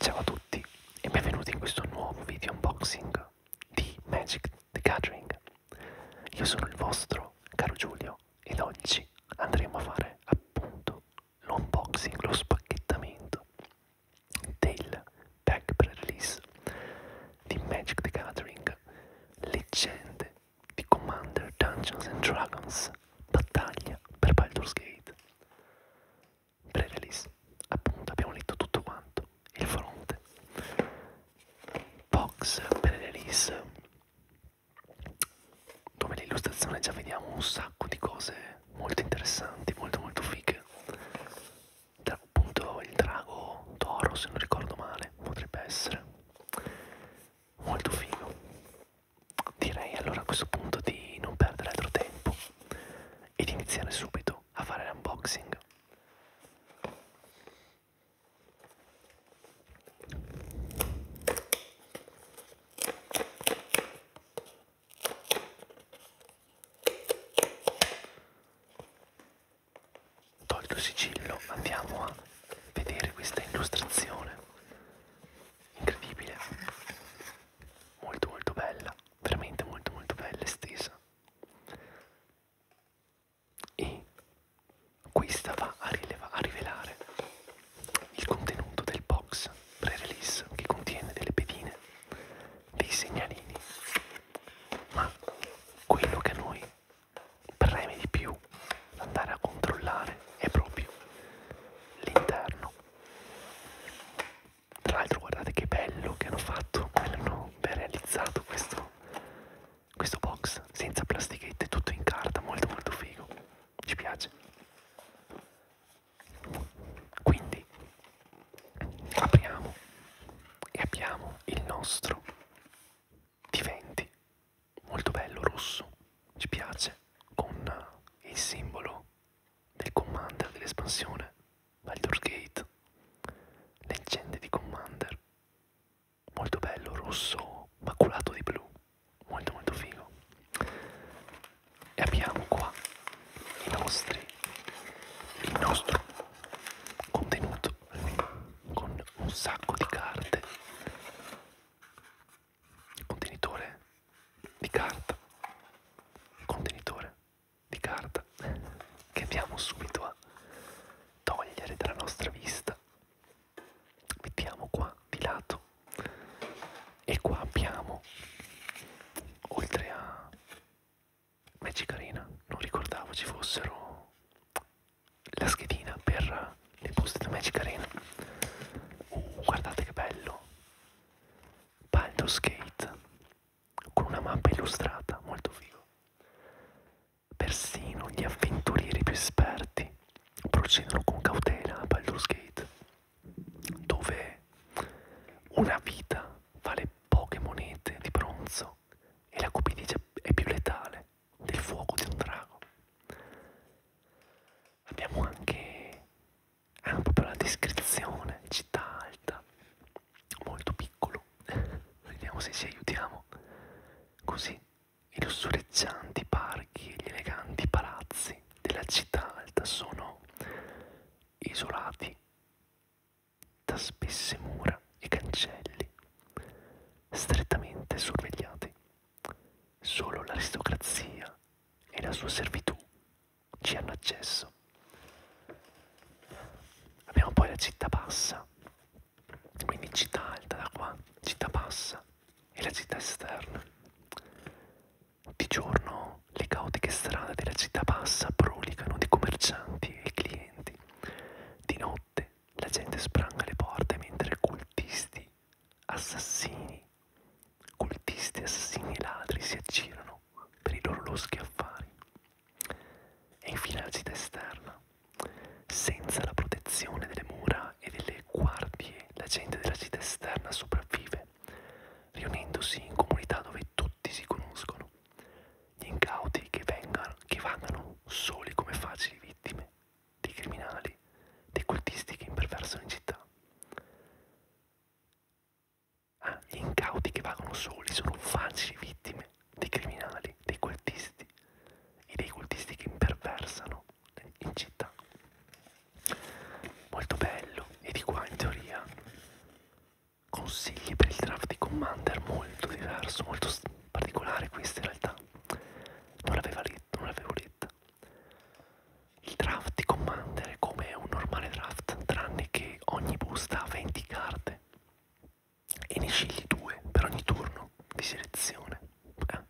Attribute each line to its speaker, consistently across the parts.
Speaker 1: Ciao a tutti e benvenuti in questo nuovo video unboxing di Magic the Gathering. Io sono il vostro caro Giulio ed oggi andremo a fare appunto l'unboxing, lo spacchettamento del pack pre-release di Magic the Gathering Leggende di Commander Dungeons and Dragons Battaglia per Baldur's Gate pre-release. Appunto, abbiamo letto tutto quanto. Il fronte. Box pre-release, dove l'illustrazione già vediamo un sacco di cose molto interessanti, molto molto fighe. Tra, appunto il drago d'oro, se non ricordo male, potrebbe essere molto figo Direi allora a questo punto di non perdere altro tempo ed iniziare subito a fare l'unboxing. Tolto il sigillo, andiamo a vedere questa illustrazione incredibile molto molto bella, veramente molto molto bella estesa. E questa va a, a rivelare il contenuto del box pre-release che contiene delle pedine, dei segnalini, ma quello che a noi preme di più andare a controllare è proprio l'interno tra l'altro guardate che bello che hanno fatto, hanno ben realizzato questo, questo box senza plastichette, tutto in carta, molto molto figo, ci piace. Quindi apriamo e abbiamo il nostro diventi, molto bello rosso, ci piace, con il simbolo del Commander dell'espansione Baldur's Gate, leggende di Commander, molto bello, rosso, maculato di blu, molto molto figo. E abbiamo qua i nostri, il nostro contenuto con un sacco di carte contenitore di carta contenitore di carta che andiamo subito a togliere dalla nostra vista mettiamo qua di lato e qua abbiamo oltre a Magic Arena non ricordavo ci fossero la schedina per le poste da Magic Arena uh, guardate che bello Baldur's Gate con una mappa illustrata, molto figo. Persino gli avventurieri più esperti procedono con cautela a Baldur's Gate, dove una vita vale poche monete di bronzo e la cupidigia è più letale del fuoco di un drago abbiamo anche, anche proprio la descrizione, città alta, molto piccolo, vediamo se ci aiutiamo, così i lussureggianti parchi e gli eleganti palazzi della città alta sono isolati da spesse mura e cancelli, strettamente sorvegliati. Solo l'aristocrazia e la sua servitù ci hanno accesso. Abbiamo poi la città bassa, quindi città alta da qua, città bassa e la città esterna. Di giorno le caotiche strade della città bassa brulicano di commercianti e clienti. Di notte la gente spranga le porte mentre cultisti, assassini Cultisti, assassini e ladri si aggirano per i loro loschi affari. E infine la città esterna. Senza la protezione delle mura e delle guardie, la gente della città esterna sopravvive, riunendosi in comunità dove tutti si conoscono. Gli incauti che, vengano, che vagano soli come facili vittime dei criminali, dei cultisti che imperversano in città. Ah, gli incauti che vagano soli sono facili vittime dei criminali, dei cultisti e dei cultisti che imperversano in città. Molto bello, e di qua in teoria consigli per il draft di Commander molto diverso, molto particolare questa in realtà. Non l'avevo letta, non l'avevo letta. Il draft di Commander è come un normale draft, tranne che ogni busta ha 20 carte e ne scegli due per ogni turno di selezione. Eh.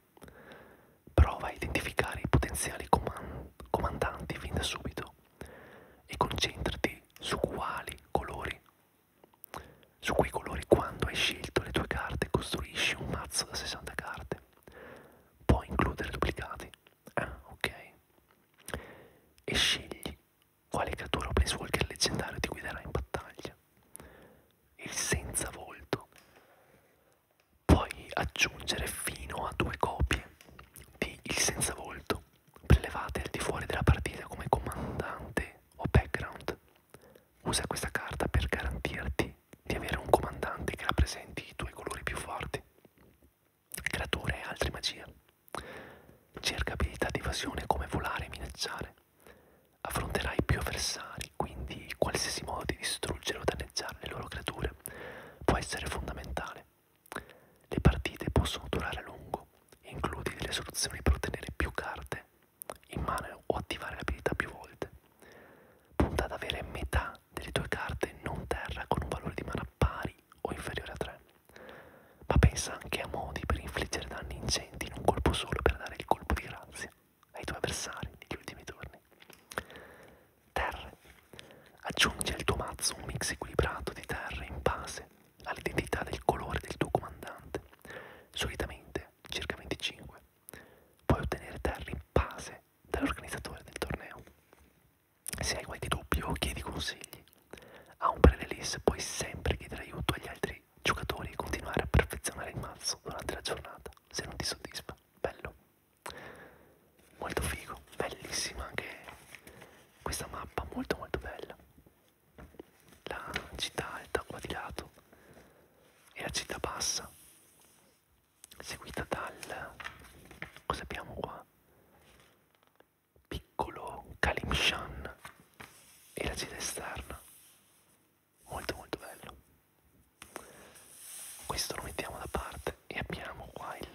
Speaker 1: Prova a identificare i potenziali coman comandanti fin da subito e concentrati su quali colori, su quei colori quando hai scelto le tue carte costruisci un mazzo da 60 carte. Puoi includere duplicati Ah, ok. E scegli quale creatura o planeswalker leggendario ti guiderà in battaglia. Il senza volto. Puoi aggiungere fino a due copie di Il senza volto prelevate al di fuori della partita come comandante o background. Usa questa carta per garantirti di avere un comandante che rappresenti i tuoi colori più forti creature e altre magie. Cerca abilità di evasione come volare e minacciare. Affronterai più avversari, quindi qualsiasi modo di distruggere o danneggiare le loro creature può essere fondamentale. Le partite possono durare a lungo e includi delle soluzioni per ottenere più carte in mano o attivare l'abilità più volte. Punta ad avere metà una delle tue carte non terra con un valore di mana pari o inferiore a 3, ma pensa anche a modi per infliggere danni ingenti in un colpo solo per dare il colpo di grazia ai tuoi avversari negli ultimi turni. Terre. Aggiungi al tuo mazzo un mix equilibrato di terre in base all'identità del colore del tuo comandante, solitamente circa 25. Puoi ottenere terre in base dall'organizzatore del torneo. Se hai qualche dubbio chiedi consigli. A un pre-release puoi sempre chiedere aiuto agli altri giocatori e continuare a perfezionare il mazzo durante la giornata se non ti soddisfa. Bello. Molto figo, bellissima anche questa mappa, molto molto bella. La città alta qua di lato e la città bassa seguita dal cosa abbiamo qua? Piccolo Kalimshan e la città esterna. Molto molto bello. Questo lo mettiamo da parte e abbiamo qua il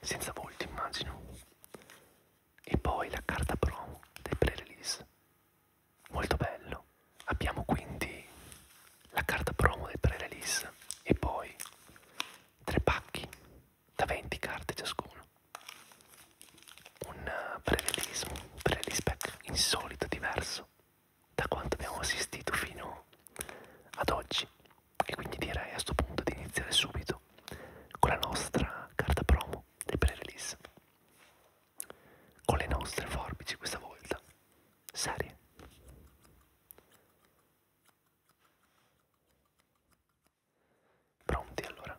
Speaker 1: senza volto immagino. E poi la carta promo del pre-release. Molto bello. Abbiamo quindi la carta promo del pre-release e poi tre pacchi da 20 carte ciascuno. Un eh, pre-release, un pre-release pack insolito, diverso da quanto abbiamo assistito fino ad oggi e quindi direi a questo punto di iniziare subito con la nostra carta promo del pre-release con le nostre forbici questa volta serie Pronti allora?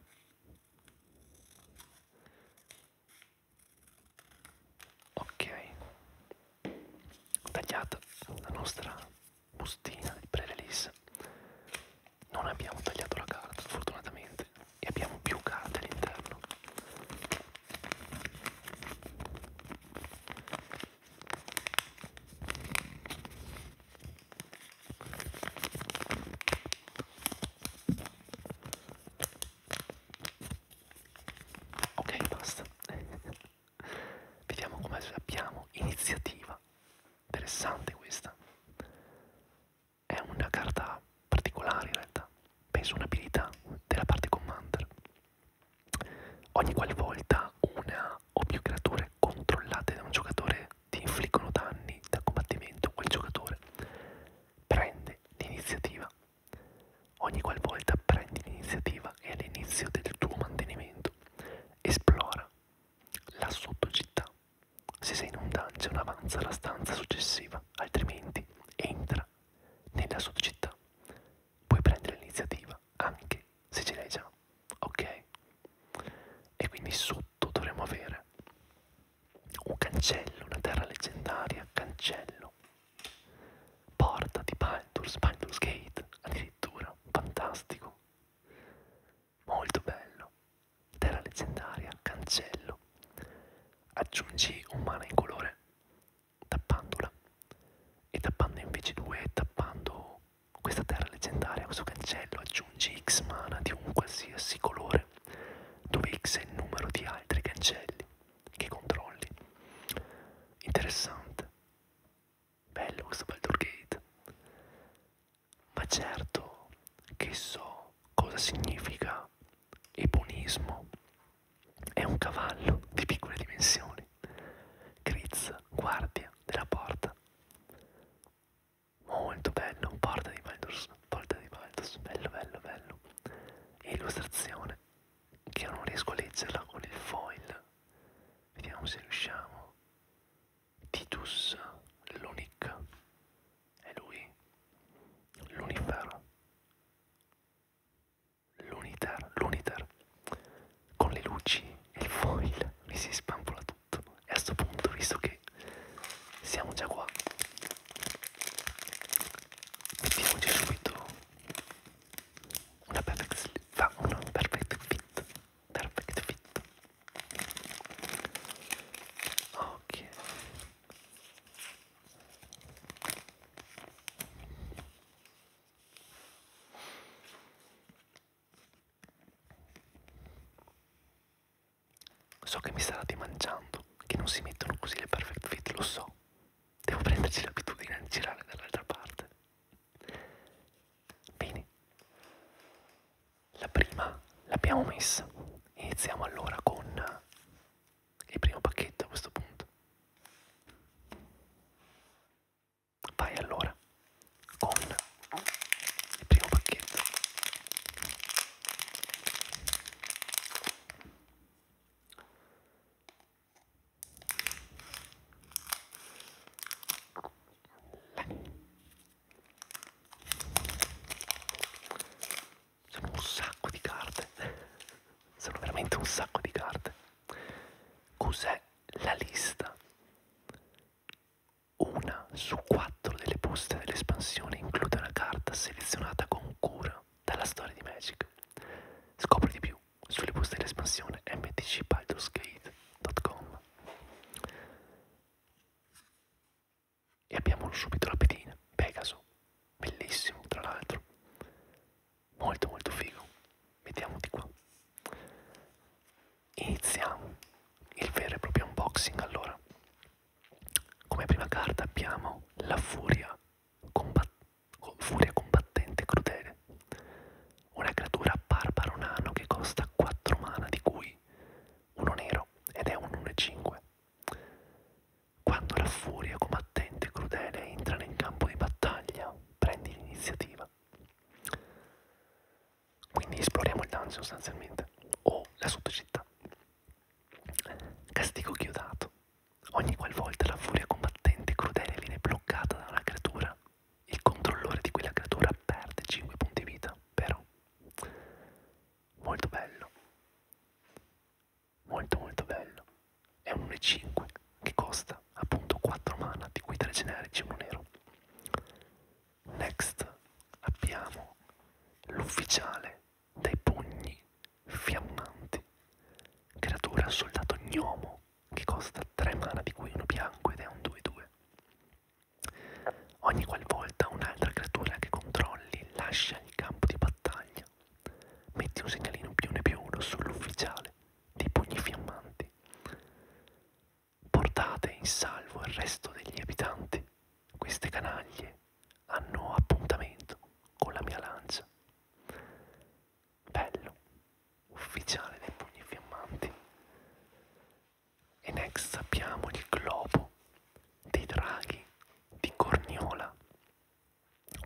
Speaker 1: Ok, tagliata la nostra bustina di pre-release. Non abbiamo tagliato la carta, fortunatamente, e abbiamo più carte all'interno. Ok, basta. Vediamo come abbiamo iniziativa. Interessante questa. È una carta particolare in realtà. Penso un'abilità della parte commander. Ogni qualvolta una o più creature controllate da un giocatore ti infliggono danni da combattimento, quel giocatore prende l'iniziativa. Ogni qualvolta prendi l'iniziativa e all'inizio del tuo mantenimento esplora la sottocittà. Se sei in un dungeon avanza alla stanza successiva, altrimenti entra nella sottocittà puoi prendere l'iniziativa anche se ce l'hai già, ok? E quindi sotto dovremmo avere un cancello, una terra leggendaria, cancello, porta di Baldur's, Baldur's Gate, addirittura, fantastico, molto bello, terra leggendaria, cancello, aggiungi un mana in colore tappandola e tappando invece 2 tappando questa terra leggendaria, questo cancello aggiungi x mana di un qualsiasi colore dove x è il numero di altri cancelli che controlli interessante bello questo Baldur Gate ma certo che so cosa significa eponismo è un cavallo di piccole dimensioni. Grizz, guardia della porta. Molto bello, porta di Baldur's, porta di Baldur's, bello bello bello. Illustrazione che io non riesco a leggerla con il foil. Vediamo se riusciamo. Titus Lunic. È lui? L'unifero l'uniter, l'uniter con le luci e il foil mi si spampola tutto e a questo punto visto che siamo già qua mettiamoci subito una perfect, fa una perfect fit perfect fit ok So che mi sarà dimangiando, che non si mettono così le perfect fit, lo so. Devo prenderci l'abitudine a girare dall'altra parte. Bene. La prima l'abbiamo messa. Iniziamo allora con il primo pacchetto a questo punto. Vai allora con il primo pacchetto. Sono un sacco di carte, sono veramente un sacco di carte. Cos'è la lista? Una su quattro delle poste dell'espansione include una carta selezionata con cura dalla storia di Magic. Scopri di più sulle poste dell'espansione mtcbaldosgate.com E abbiamo subito la pedina, Pegaso, bellissimo tra l'altro molto molto figo vediamo di qua iniziamo il vero e proprio unboxing allora come prima carta abbiamo la furia, combat furia combattente crudele una creatura barbaro nano che costa 4 mana di cui uno nero ed è un 1,5 quando la furia combattente crudele entra nel campo di battaglia prendi l'iniziativa. Quindi esploriamo il dungeon sostanzialmente, o la sottocittà. Castigo chiodato. Ogni qualvolta la furia combattente crudele viene bloccata da una creatura, il controllore di quella creatura perde 5 punti vita, però. Molto bello. Molto molto bello è un 1,5 che costa appunto 4 mana di cui 3 generici e 1 nero. Next abbiamo l'ufficiale dei pugni fiammanti, creatura soldato gnomo che costa 3 mana di cui uno bianco ed è un 2-2. Ogni qualvolta un'altra creatura che controlli lascia il campo di battaglia, metti un segnalino più ne più uno sull'ufficiale dei pugni fiammanti. Portate in salvo il resto degli abitanti. Queste canaglie hanno appuntamento con la mia lancia. Bello, ufficiale dei pugni fiammanti. E next abbiamo il globo dei draghi di Corniola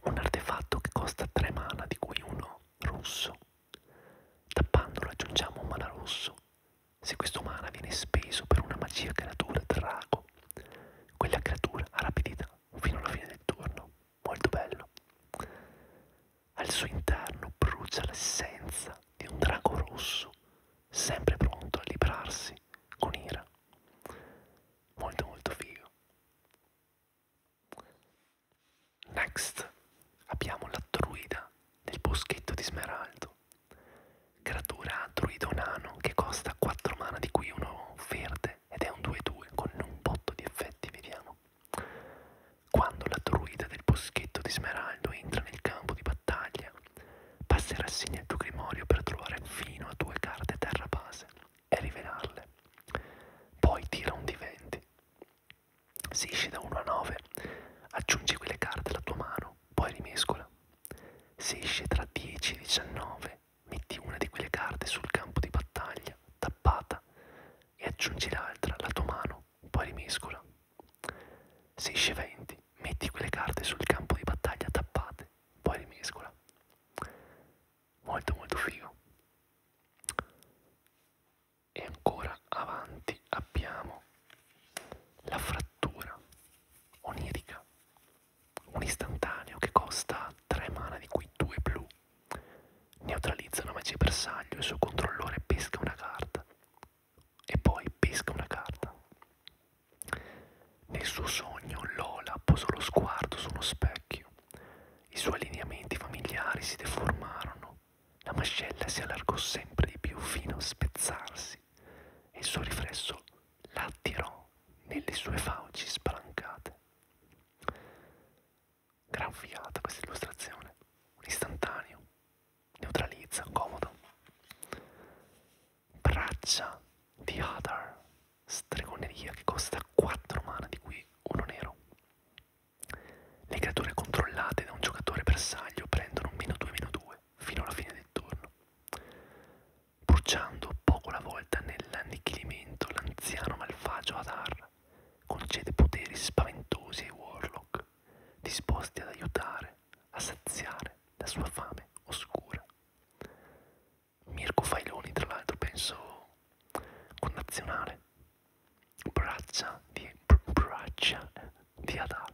Speaker 1: un artefatto che costa 3 mana di cui uno rosso. Tappandolo aggiungiamo un mana rosso. Se questo mana viene speso per una magia creatura drago, quella creatura ha rapidità fino alla fine del turno. Molto bello. Al suo interno brucia l'essenza di un drago rosso, sempre pronto a librarsi con ira. Molto molto figo. Next abbiamo la druida del boschetto di smeraldo, creatura druidonano che costa 4 mana di cui uno verde ed è un 2-2 con un botto di effetti, vediamo. Quando la druida del boschetto di smeraldo entra nel campo di battaglia, passerà segno al tuo grimorio per trovare fino a due carte terra base e rivelarle. Poi tira un di 20. Si esce da 1 a 9, aggiungi quelle carte alla tua mano, poi rimescola. Se esce tra 10 e 19, metti una di quelle carte sul campo di battaglia, tappata, e aggiungi l'altra alla tua mano, poi rimescola. Se esce 20, metti quelle carte sul campo di battaglia tappate, poi rimescola molto molto figo e ancora avanti abbiamo la frattura onirica un istantaneo che costa 3 mana di cui 2 blu neutralizza una magia bersaglio il suo controllore pesca una carta e poi pesca una carta nel suo sogno Lola posò lo sguardo su uno specchio i suoi lineamenti familiari si deformarono, la mascella si allargò sempre di più fino a spezzarsi e il suo riflesso la attirò nelle sue fauci spalancate. Gran fiata questa illustrazione, un istantaneo, neutralizza, comodo. Braccia di Hadar, stregoneria che costa 4 mana di cui uno nero. Le creature controllate da un giocatore bersaglio prendono un meno 2 meno 2 fino alla fine del turno. Bruciando poco alla volta nell'annichilimento l'anziano malfagio Adar concede poteri spaventosi ai Warlock, disposti ad aiutare a saziare la sua fame oscura. Mirko Failoni, tra l'altro, penso connazionale braccia di br braccia eh, di Adà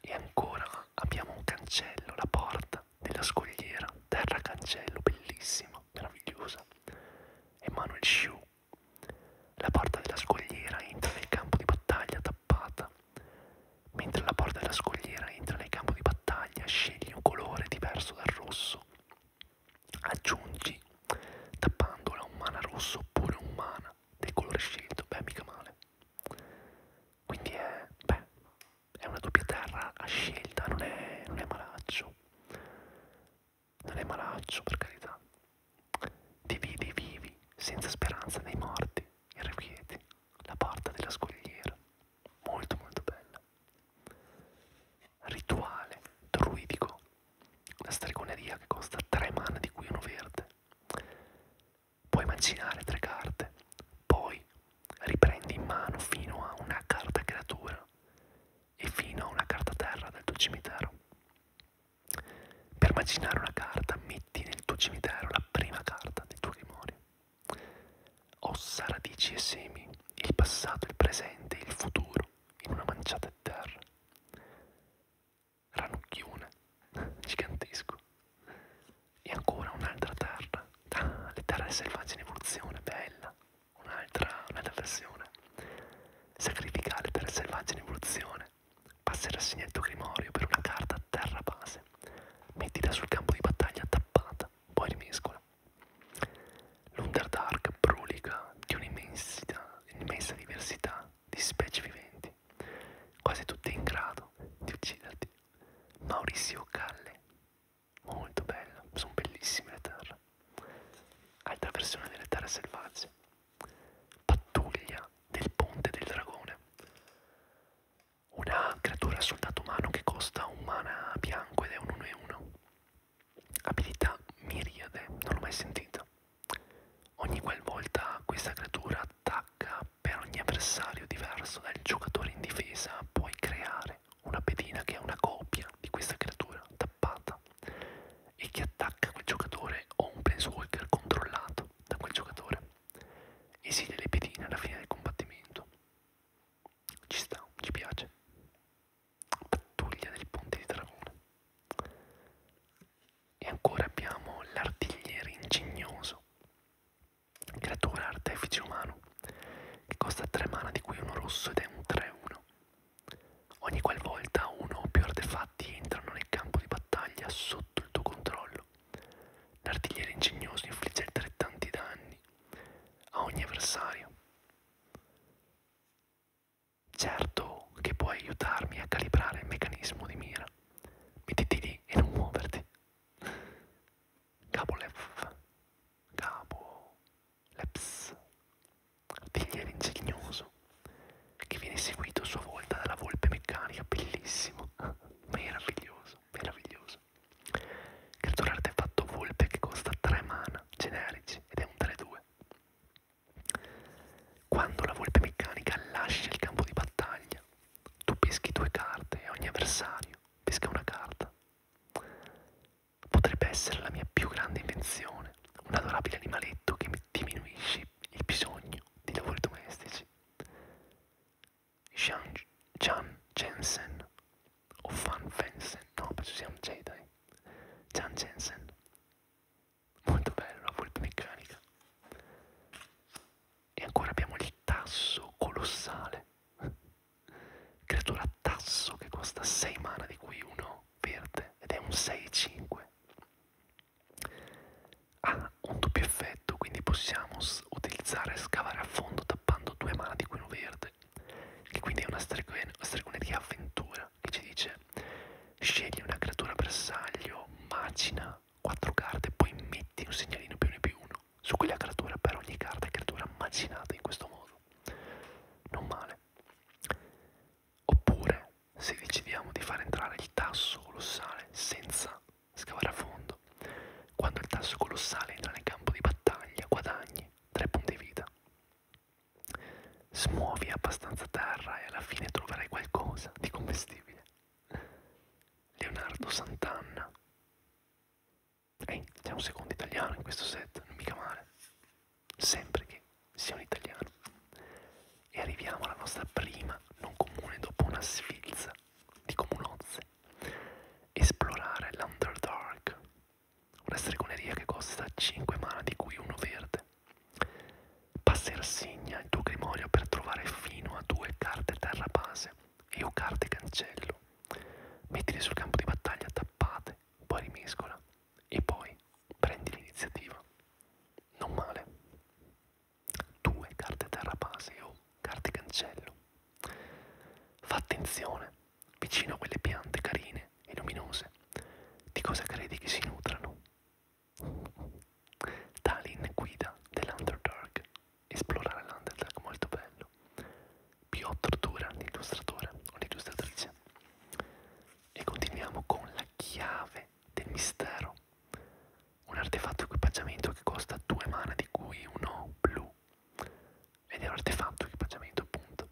Speaker 1: e ancora abbiamo un cancello la porta della scogliera terra cancello bellissima meravigliosa Emanuel Shu la porta della scogliera entra nel campo di battaglia tappata mentre la porta della scogliera entra nel campo di battaglia scegli un colore diverso dal rosso aggiungi tappandola un mana rosso oppure un mana del colore scelto, beh mica male quindi è, beh, è una doppia terra a scelta, non è, non è malaccio non è malaccio per carità dividi i vivi senza speranza dei morti irrequieti la porta della scogliera molto molto bella rituale druidico. Una stregoneria che costa 3 mana di cui uno verde. Puoi mancinare tre carte, poi riprendi in mano fino a una carta creatura e fino a una carta terra del tuo cimitero. Per macinare una carta metti nel tuo cimitero la prima carta dei tuoi rimori ossa, radici e semi, il passato, il presente e il futuro in una manciata di terra. Ranucchione, gigantesco. E ancora un'altra terra. Ah, le terre selvagge in evoluzione, bella. Un'altra, un'altra versione. Sacrificare le terre selvagge in evoluzione. Passa il rassegnetto grimorio per una carta terra base. Mettila sul campo di battaglia tappata, poi rimescola. L'Underdark brulica di un'immensa un diversità di specie viventi, quasi tutte in grado di ucciderti. Maurizio Calle, molto bella, sono bellissime le terre. Altra versione delle terre selvagge. Pattuglia del ponte del dragone. Una creatura soldato umano che costa un mana bianco ed è un 1 e 1. Abilità miriade, non l'ho mai sentita. Ogni qualvolta questa creatura attacca per ogni avversario diverso dal giocatore in difesa, puoi creare una pedina che è una copia di questa creatura tappata e che attacca quel giocatore o un planeswalker controllato da quel giocatore. Esile le pedine alla fine del combattimento. Ci sta, ci piace pattuglia del ponte di Dragone. E ancora abbiamo l'artigliere ingegnoso, creatura artefice umano, che costa 3 mana di cui uno rosso ed è un 3-1. Ogni qualvolta uno o più artefatti entrano nel campo di battaglia sotto il tuo controllo, l'artigliere ingegnoso infligge altrettanti danni a ogni avversario Certo che puoi aiutarmi a calibrare il meccanismo di mira. Mettiti lì e non muoverti. Capo Lef. Capo Leps. Artigliere ingegnoso. Che viene seguito a sua volta dalla volpe meccanica. Bellissimo. Meraviglioso, meraviglioso. Creatura artefatto volpe che costa 3 mana generici ed è un 3-2. Quando la volpe meccanica lascia il campo di battaglia, tu peschi due carte e ogni avversario pesca una carta. Potrebbe essere la mia più grande invenzione, un adorabile animaletto che mi diminuisce il bisogno di lavori domestici. Jean, Jean Jensen o Fan Fensen, no penso sia un Jedi, Jan Jensen, molto bello la volpe meccanica. E ancora abbiamo il tasso colossale, creatura tasso che costa 6 mana di cui uno verde ed è un 6-5. Ha un doppio effetto, quindi possiamo utilizzare e scavare a fondo tappando due mana di cui uno verde che quindi è una stregone, una stregone di avventura, che ci dice scegli una creatura bersaglio, macina 4 carte, poi metti un segnalino più 1 più 1 su quella creatura per ogni carta è creatura macinata in questo modo. Non male. Oppure, se decidiamo di far entrare il tasso colossale senza scavare a fondo, quando il tasso colossale entra nel campo di battaglia guadagni 3 punti vita. Smuovi abbastanza terra e alla fine troverai qualcosa di commestibile. Leonardo Sant'Anna. Ehi, c'è un secondo italiano in questo set, non mica male. Sempre che sia un italiano. E arriviamo alla nostra prima non comune dopo una sfilza di comunozze. Esplorare l'Underdark una stregoneria che costa 5 mana di cui uno verde. Passersegna il tuo grimorio per trovare fino a due carte terra base e o carte cancello. Mettili sul campo di battaglia tappate, poi rimescola e poi prendi l'iniziativa. Non male. Due carte terra base o carte cancello. Fa attenzione vicino a quelle piante carine e luminose, di cosa credi che si nutrano? Talin guida dell'Underdark, esplorare l'Underdark molto bello. Piotr Duran, illustratore o illustratrice. E continuiamo con la chiave del mistero, un artefatto equipaggiamento che costa due mana di cui uno blu ed è un artefatto equipaggiamento appunto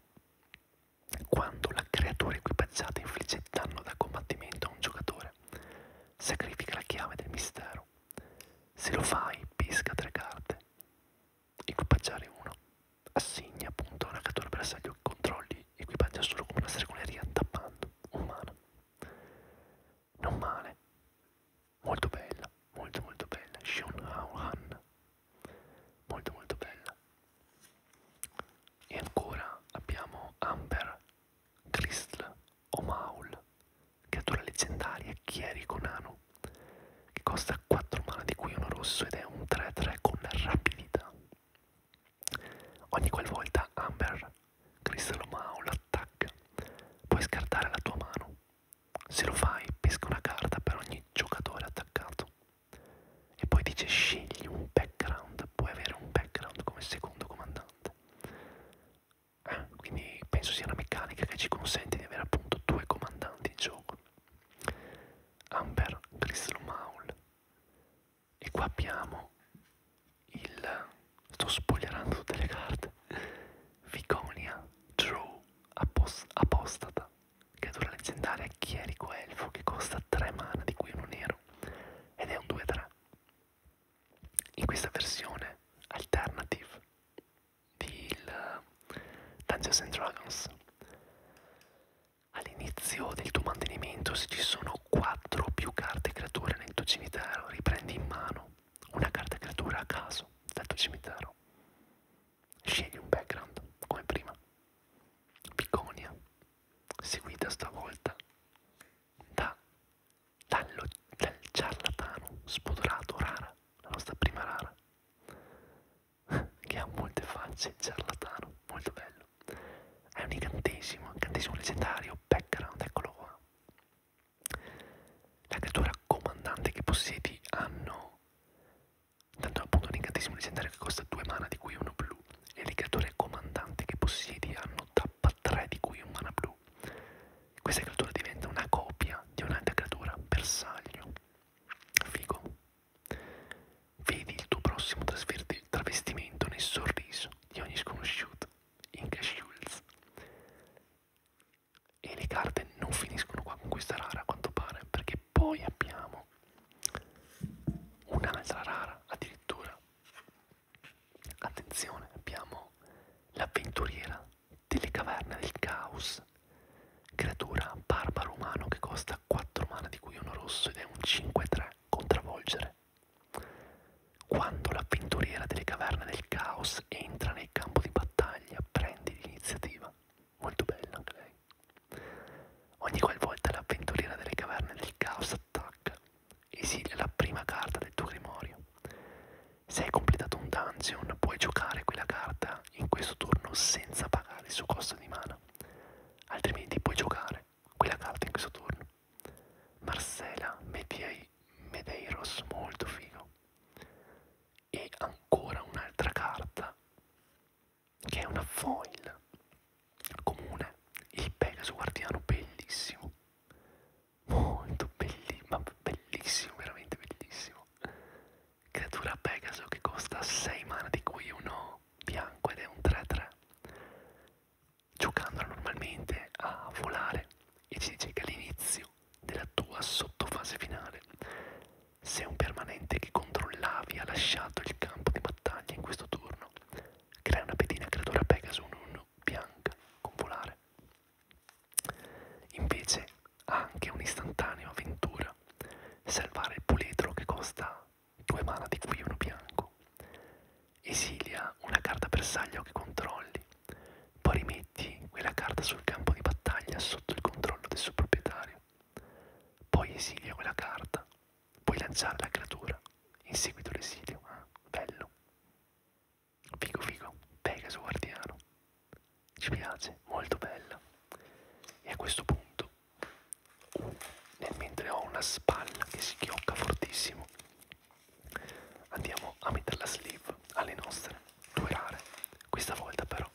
Speaker 1: quando la creatura equipaggiata infligge danno da combattimento a un giocatore, sacrifica la chiave del mistero. Se lo fai, pesca tre carte. Equipaggiare uno. Assegna appunto a un creatura bersaglio che controlli, equipaggia solo come una stregoneria tappando un mano. Non male. Molto bella, molto molto bella. Shun Hao Han molto molto bella e ancora abbiamo Amber Crystal O'Maul creatura leggendaria chierico nano che costa 4 mana di cui uno rosso ed è un 3-3 con rapidità ogni qualvolta Amber Crystal O'Maul attacca puoi scartare la tua mano se lo fai, pesca una carta per ogni giocatore attaccato. E poi dice scegli un background, puoi avere un background come secondo comandante. Eh, quindi penso sia una meccanica che ci consente di avere appunto due comandanti in gioco. Amber Crystal Maul. E qua abbiamo il... sto spoilerando tutte le carte. Viconia Drew Apostata creatura leggendaria chierico elfo che costa 3 mana di cui uno nero ed è un 2-3. In questa versione alternative di eh, Dungeons and Dragons all'inizio del tuo mantenimento se ci sono 4 o più carte creature nel tuo cimitero riprendi in mano una carta creatura a caso dal tuo cimitero Scegli un background, come prima. Piconia, seguita stavolta da, dallo, dal ciarlatano spudorato Rara, la nostra prima Rara, che ha molte facce, ciarlatano, molto bello. È un incantesimo, incantesimo leggendario, background, eccolo qua. La creatura comandante che possiedi hanno Tanto è appunto un incantesimo leggendario che costa 2 mana di cui uno blu e le creature comandanti che possiedi hanno tappa 3 di cui un mana blu. Questa creatura diventa una copia di un'altra creatura bersaglio. Figo. Vedi il tuo prossimo travestimento nel sorriso di ogni sconosciuto. Inca Schulz. E le carte non finiscono qua con questa rara a quanto pare, perché poi abbiamo un'altra rara addirittura attenzione abbiamo l'avventuriera delle caverne del caos creatura barbaro umano che costa 4 mana di cui uno rosso ed è un 5-3 contravolgere quando l'avventuriera delle caverne del caos entra nel campo di battaglia prendi l'iniziativa molto bella anche lei. Ogni qualvolta l'avventuriera delle caverne del caos attacca, esilia la prima carta del tuo grimorio. Se hai completato un dungeon, puoi giocare quella carta in questo turno senza pagare il suo costo di mana. Altrimenti puoi giocare quella carta in questo turno. Marcela Medei Medeiros, molto figo. E ancora un'altra carta che è una foil comune, il Pegaso Guardiano, bellissimo, molto bellissimo, ma bellissimo, veramente bellissimo. Creatura Pegaso che costa 6 mana, di cui uno bianco ed è un 3-3. Giocandola normalmente a volare e ci dice che all'inizio della tua sottofase finale se un permanente che controllavi ha lasciato il campo di battaglia in questo turno, crea una pedina creatura Pegasus 1 bianca con volare. Invece ha anche un istantaneo avventura, salvare il puledro che costa 2 mana di cui uno bianco. Esilia una carta bersaglio che controlli, poi rimetti quella carta sul campo di battaglia sotto il controllo del suo proprietario. Poi esilia quella carta, puoi lanciare la creatura, in seguito l'esilio. Ah, bello. Figo figo, Pegaso Guardiano. Ci piace, molto bella. E a questo punto, uh, nel mentre ho una spalla che si chiocca fortissimo, andiamo a mettere la sleeve alle nostre due rare. Questa volta però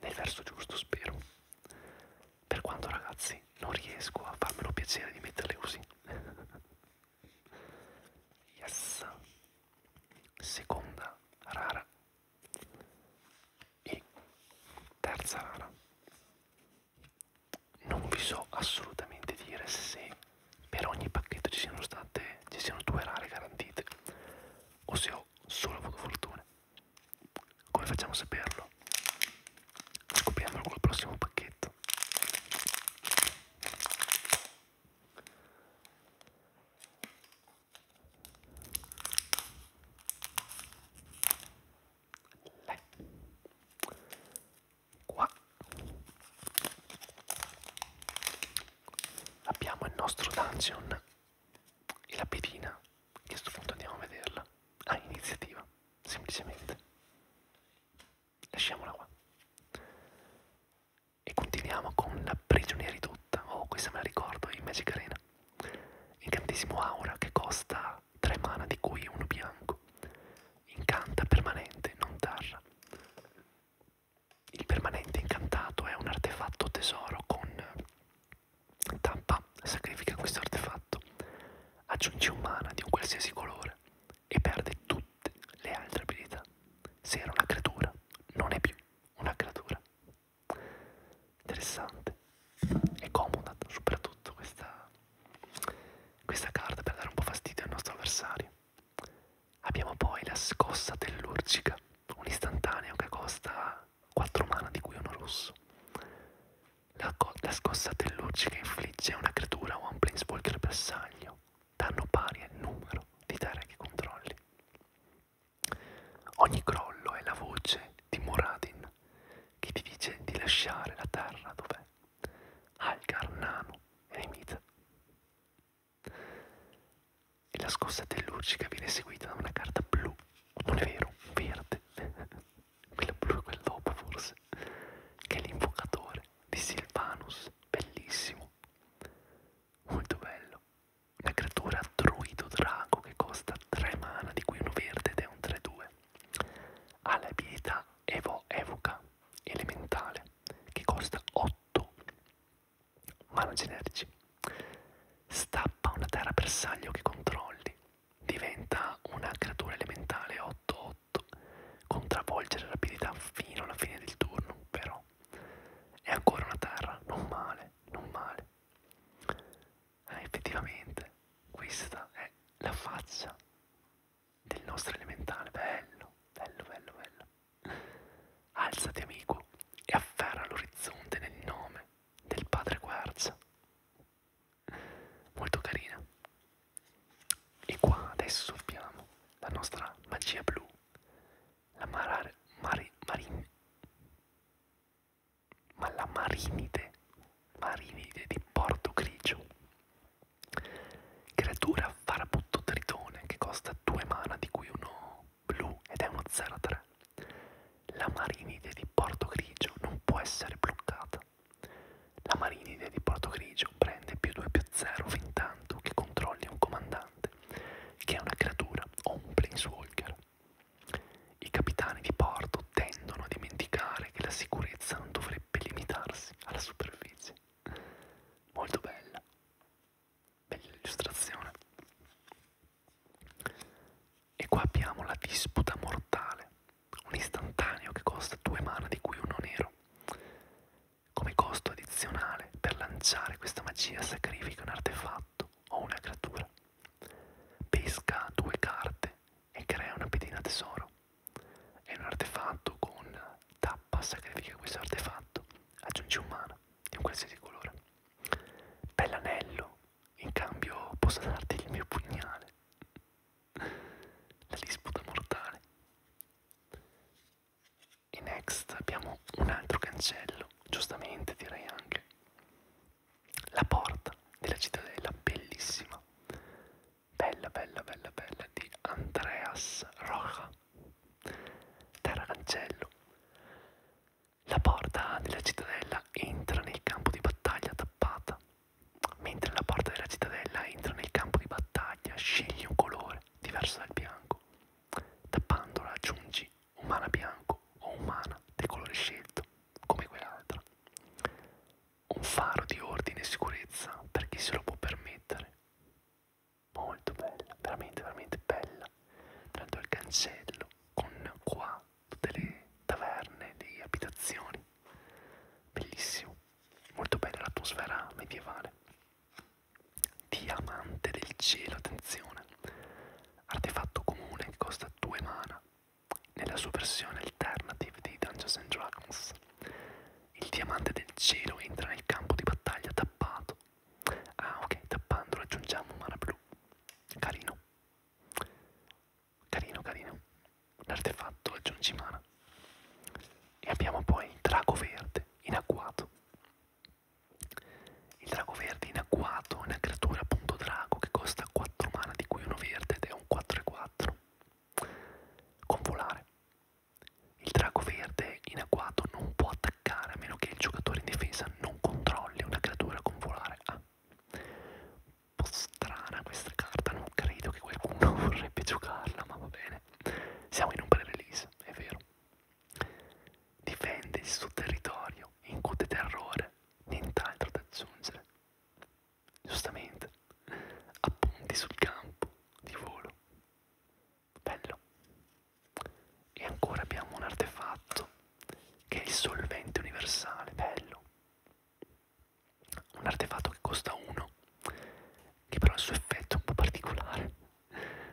Speaker 1: nel verso giusto spero per quanto ragazzi non riesco a farmelo piacere di metterle così yes seconda rara e terza rara non vi so assolutamente dire se per ogni pacchetto ci siano state ci siano due rare garantite o se ho solo avuto fortuna come facciamo a saperlo? Scopriamolo col prossimo pacchetto. Là. Eh. Qua abbiamo il nostro dungeon e la pedina, che a questo punto andiamo a vederla, ha ah, iniziativa, semplicemente. Lasciamola qua. E continuiamo con la prigioniera ridotta, oh questa me la ricordo, in Magic Arena. Incantesimo aura che costa 3 mana di cui uno bianco. Incanta permanente, non tarra. Il permanente incantato è un artefatto tesoro con Tampa sacrifica questo artefatto, aggiunge un mana di un qualsiasi colore e perde tutte le altre abilità. Se era una creatura, non è più una creatura. Interessante. È comoda soprattutto questa, questa carta per dare un po' fastidio al nostro avversario. Abbiamo poi la scossa dell'urcica un istantaneo che costa 4 mana di cui uno rosso. La, la scossa tellurgica infligge a una creatura o a un planeswalker bersaglio danno pari al numero di terre che controlli. Ogni crollo è la voce di Muradin che ti dice di lasciare la terra dov'è. Algar, Nano e Nimita e la scossa tellurgica viene seguita da una carta blu, non è vero, verde, quella blu è quella dopo forse, che è l'invocatore di Silvanus, bellissimo, molto bello, una creatura druido drago che costa 3 mana, di cui uno verde ed è un 3-2, ha l'abilità evo evoca elementale che costa 8 mano generici. Stappa una terra bersaglio che controlli, diventa una creatura elementale 8-8, contravolgere rapidità fino alla fine del turno, però è ancora una terra, non male, non male. Eh, effettivamente, questa è la faccia del nostro elementale, bello, bello, bello, bello. Alzati amico e afferra l'orizzonte nel nome del padre Quarz molto carina e qua adesso abbiamo la nostra magia blu la marare, mari, marin, ma la marinide marinide di porto grigio creatura farabutto tritone che costa due mana di cui uno blu ed è uno 03. La Marinide di Porto Grigio non può essere bloccata. La Marinide di Porto Grigio prende più 2 più 0 fin tanto che controlli un comandante, che è una creatura o un planeswalker. I capitani di porto tendono a dimenticare che la sicurezza non dovrebbe limitarsi alla superficie. Molto bella. Bella illustrazione. E qua abbiamo la disputa mortale, un istantaneo che costa due mana di cui uno nero. Come costo addizionale per lanciare questa magia sacrifica un artefatto o una creatura. Pesca due carte e crea una pedina tesoro. È un artefatto con tappa sacrifica questo artefatto. Aggiungi un mana di un qualsiasi colore. Bell'anello in cambio posso darti il mio pugnale. La disputa mortale. E next abbiamo un altro cancello, giustamente direi anche. La porta della cittadella, bellissima. Bella, bella, bella, bella, di Andreas Rocha. Terra cancello. La porta della cittadella entra nel campo di battaglia tappata. Mentre la porta della cittadella entra nel campo di battaglia, scegli un colore diverso dal bianco. Tappandola aggiungi umana bianco o umana del colore scelto, come quell'altra. Un faro di ordine e sicurezza per chi se lo può permettere. Molto bella, veramente, veramente bella. Tanto il cancello con qua tutte le taverne, le abitazioni, bellissimo, molto bella l'atmosfera medievale. Diamante del cielo, attenzione, artefatto comune che costa 2 mana nella sua versione alternative di Dungeons and Dragons. Il diamante del cielo entra nel campo di battaglia tappato. Ah ok, tappando raggiungiamo un mana blu. Carino, Carino, carino. L'artefatto aggiungi mana. E abbiamo poi il drago verde in agguato. Il drago verde in agguato è una creatura appunto drago che costa 4 mana di cui uno verde ed è un 4 e 4. Con volare. Il drago verde in agguato non può attaccare a meno che il giocatore in difesa non controlli una creatura con volare. Ah, un po' strana questa carta, non credo che qualcuno vorrebbe giocarla, ma va bene. Siamo in un pre-release, è vero. Difende il suo territorio, incute terrore, nient'altro da aggiungere. Giustamente, appunti sul campo di volo. Bello. E ancora abbiamo un artefatto che è il solvente universale, bello. Un artefatto che costa 1, che però ha il suo effetto un po' particolare.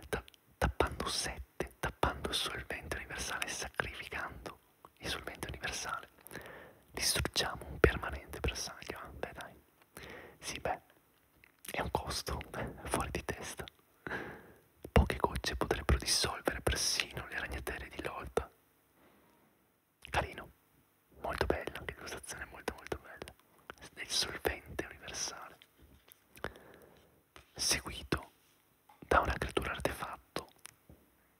Speaker 1: Ta tappando 7, tappando il solvente universale e sacrificando il solvente universale, distruggiamo un permanente bersaglio. Ah, beh dai, sì beh, è un costo fuori di testa. Poche gocce potrebbero dissolvere persino le ragnatele di Lolta. Carino, molto bella, anche l'illustrazione molto molto bella. Del solvente universale. Seguito da una creatura artefatto,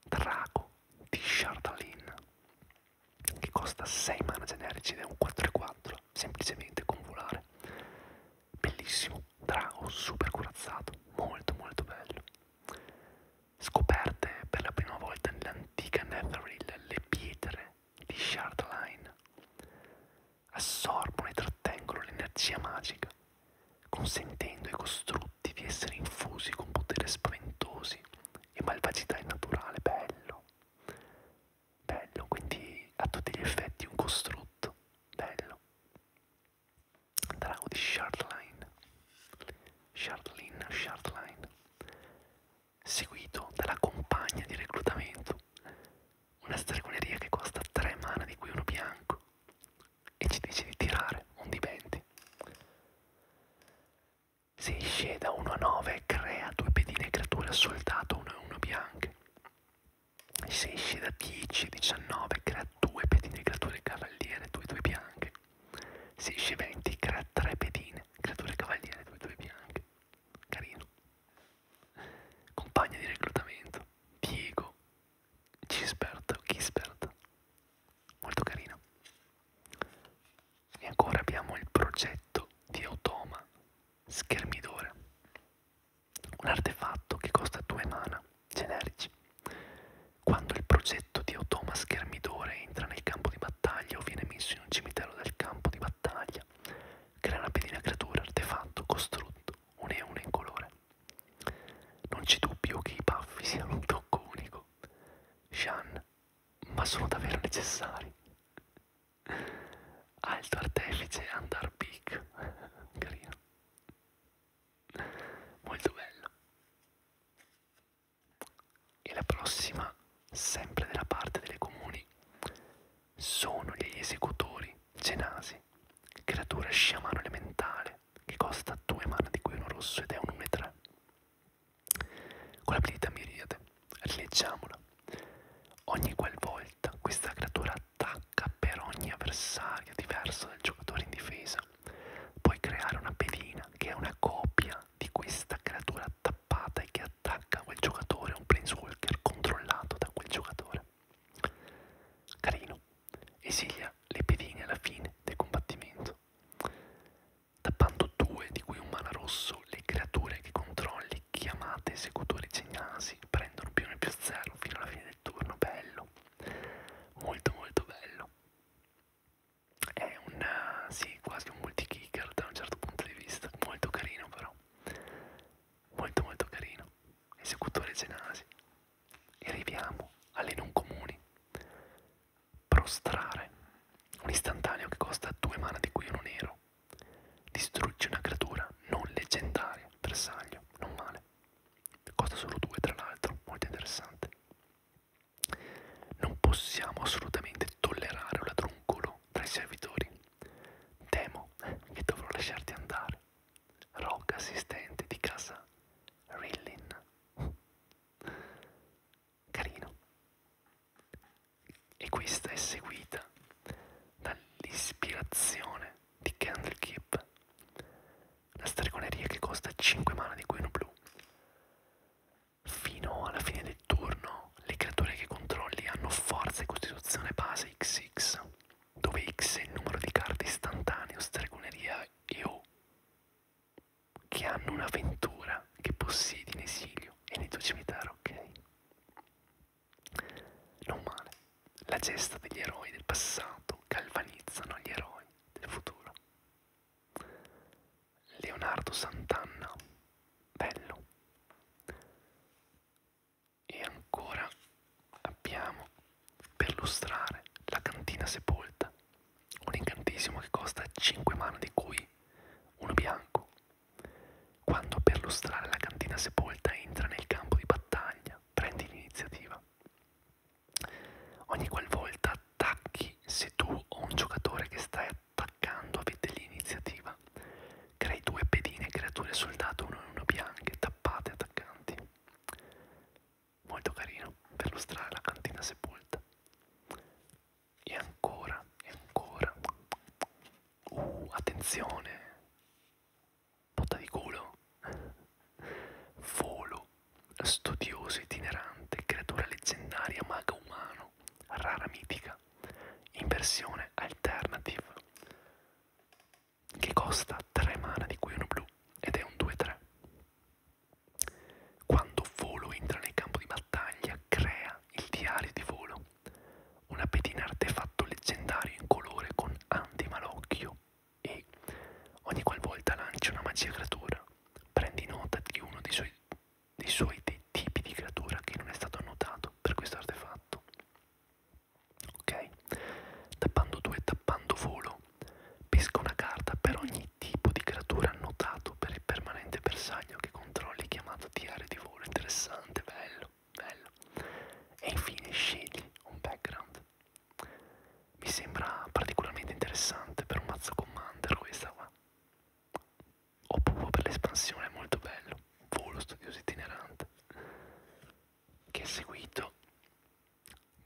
Speaker 1: Drago di Shardalin, che costa 6 mana generici ed è un 4-4, semplicemente con volare bellissimo, drago super corazzato, molto molto bello. Scoperte per la prima volta nell'antica Netheril le pietre di Shardline assorbono e trattengono l'energia magica, consentendo ai costrutti di essere infusi con poteri spaventosi e malvagità innaturale. Bello, bello, quindi a tutti gli effetti un costrutto, bello drago di Charline, Charline, Charline, seguito dalla compagna di reclutamento, una stregoneria che costa 3 mana di cui uno bianco, e ci dice di tirare un di 20. Se sceda 1 a 9 crea due pedine creature soldato 1 e 1 bianche se esci da 10, 19 crea 2 pedine, creature cavaliere, 2, 2 bianche. Se esci 20 crea 3 pedine, creature cavaliere, 2, 2 bianche. Carino. Compagna di reclutamento, Diego, Gisbert, Gisbert. Molto carino. E ancora abbiamo il progetto di automa schermidore un artefatto che costa 2 mana generici. Quando il progetto di automa schermidore entra nel campo di battaglia o viene messo in un cimitero del campo di battaglia, crea una pedina creatura artefatto costrutto, un e uno in colore. Non c'è dubbio che i paffi siano un tocco unico, Shan, ma sono davvero necessari. Alto artefice Andar Peak, carino molto bello e la prossima sempre della parte delle comuni sono gli esecutori genasi creatura sciamano elementale che costa 2 mana di cui uno rosso ed è un 1-3 con l'abilità miriade rileggiamola ogni qualvolta questa creatura attacca per ogni avversario diverso del giocatore in difesa. Puoi creare una pedina che è una copia di questa creatura tappata e che attacca quel giocatore, un planeswalker controllato da quel giocatore. Carino, esilia le pedine alla fine del combattimento. Tappando due, di cui un mana rosso, le creature che controlli chiamate esecutori segnasi prendono più 1 più 0 fino alla fine del turno, bello molto molto bello è un eh, sì quasi un multi kicker da un certo punto di vista molto carino però molto molto carino esecutore genasi e arriviamo alle non comuni prostrare un istantaneo che costa due mana di cui uno nero distrugge una creatura non leggendaria bersaglio non male costa solo 2 tra l'altro, molto interessante. Non possiamo assolutamente tollerare un ladruncolo tra i servitori. Temo che dovrò lasciarti andare. Rock, assistente di casa Rillin. Carino. E questa è seguita dall'ispirazione di Candlekeep, una stregoneria che costa 5 mana di cui uno blu. Fino alla fine del turno le creature che controlli hanno forza e costituzione base XX, dove X è il numero di carte istantaneo, stregoneria e O, che hanno un'avventura che possiedi in esilio e nel tuo cimitero, ok? Non male. La gesta degli eroi del passato galvanizzano gli eroi del futuro. Leonardo Sant'Anna, bello. E ancora abbiamo per lustrare la cantina sepolta, un incantesimo che costa 5 mana di cui uno bianco. Quando per lustrare la cantina sepolta entra nel campo di battaglia, prendi l'iniziativa. Ogni qualvolta attacchi, se tu o un giocatore che stai attaccando avete l'iniziativa, crei due pedine creature soldato, uno e uno bianche, tappate attaccanti. Molto carino per lustrare la cantina sepolta. E ancora, e ancora. Uh, attenzione! botta di culo, volo, studioso itinerante, creatura leggendaria, maga umano, rara mitica, in versione alternative, che costa 3 mana di cui uno blu ed è un 2-3. Quando volo entra nel campo di battaglia, crea il diario di volo, una pedina artefatto leggendario in colore con antimalocchio, e ogni qualvolta lanci una magia creatura, prendi nota di uno dei suoi, dei suoi dei tipi di creatura che non è stato annotato per questo artefatto. Ok? Tappando 2 e tappando volo, pesca una carta per ogni tipo di creatura annotato per il permanente bersaglio che controlli chiamato diario di volo. Interessante, bello, bello. E infine scegli un background mi sembra particolarmente interessante per un mazzo commander questa qua. O proprio per l'espansione, è molto bello. Volo studioso itinerante. Che è seguito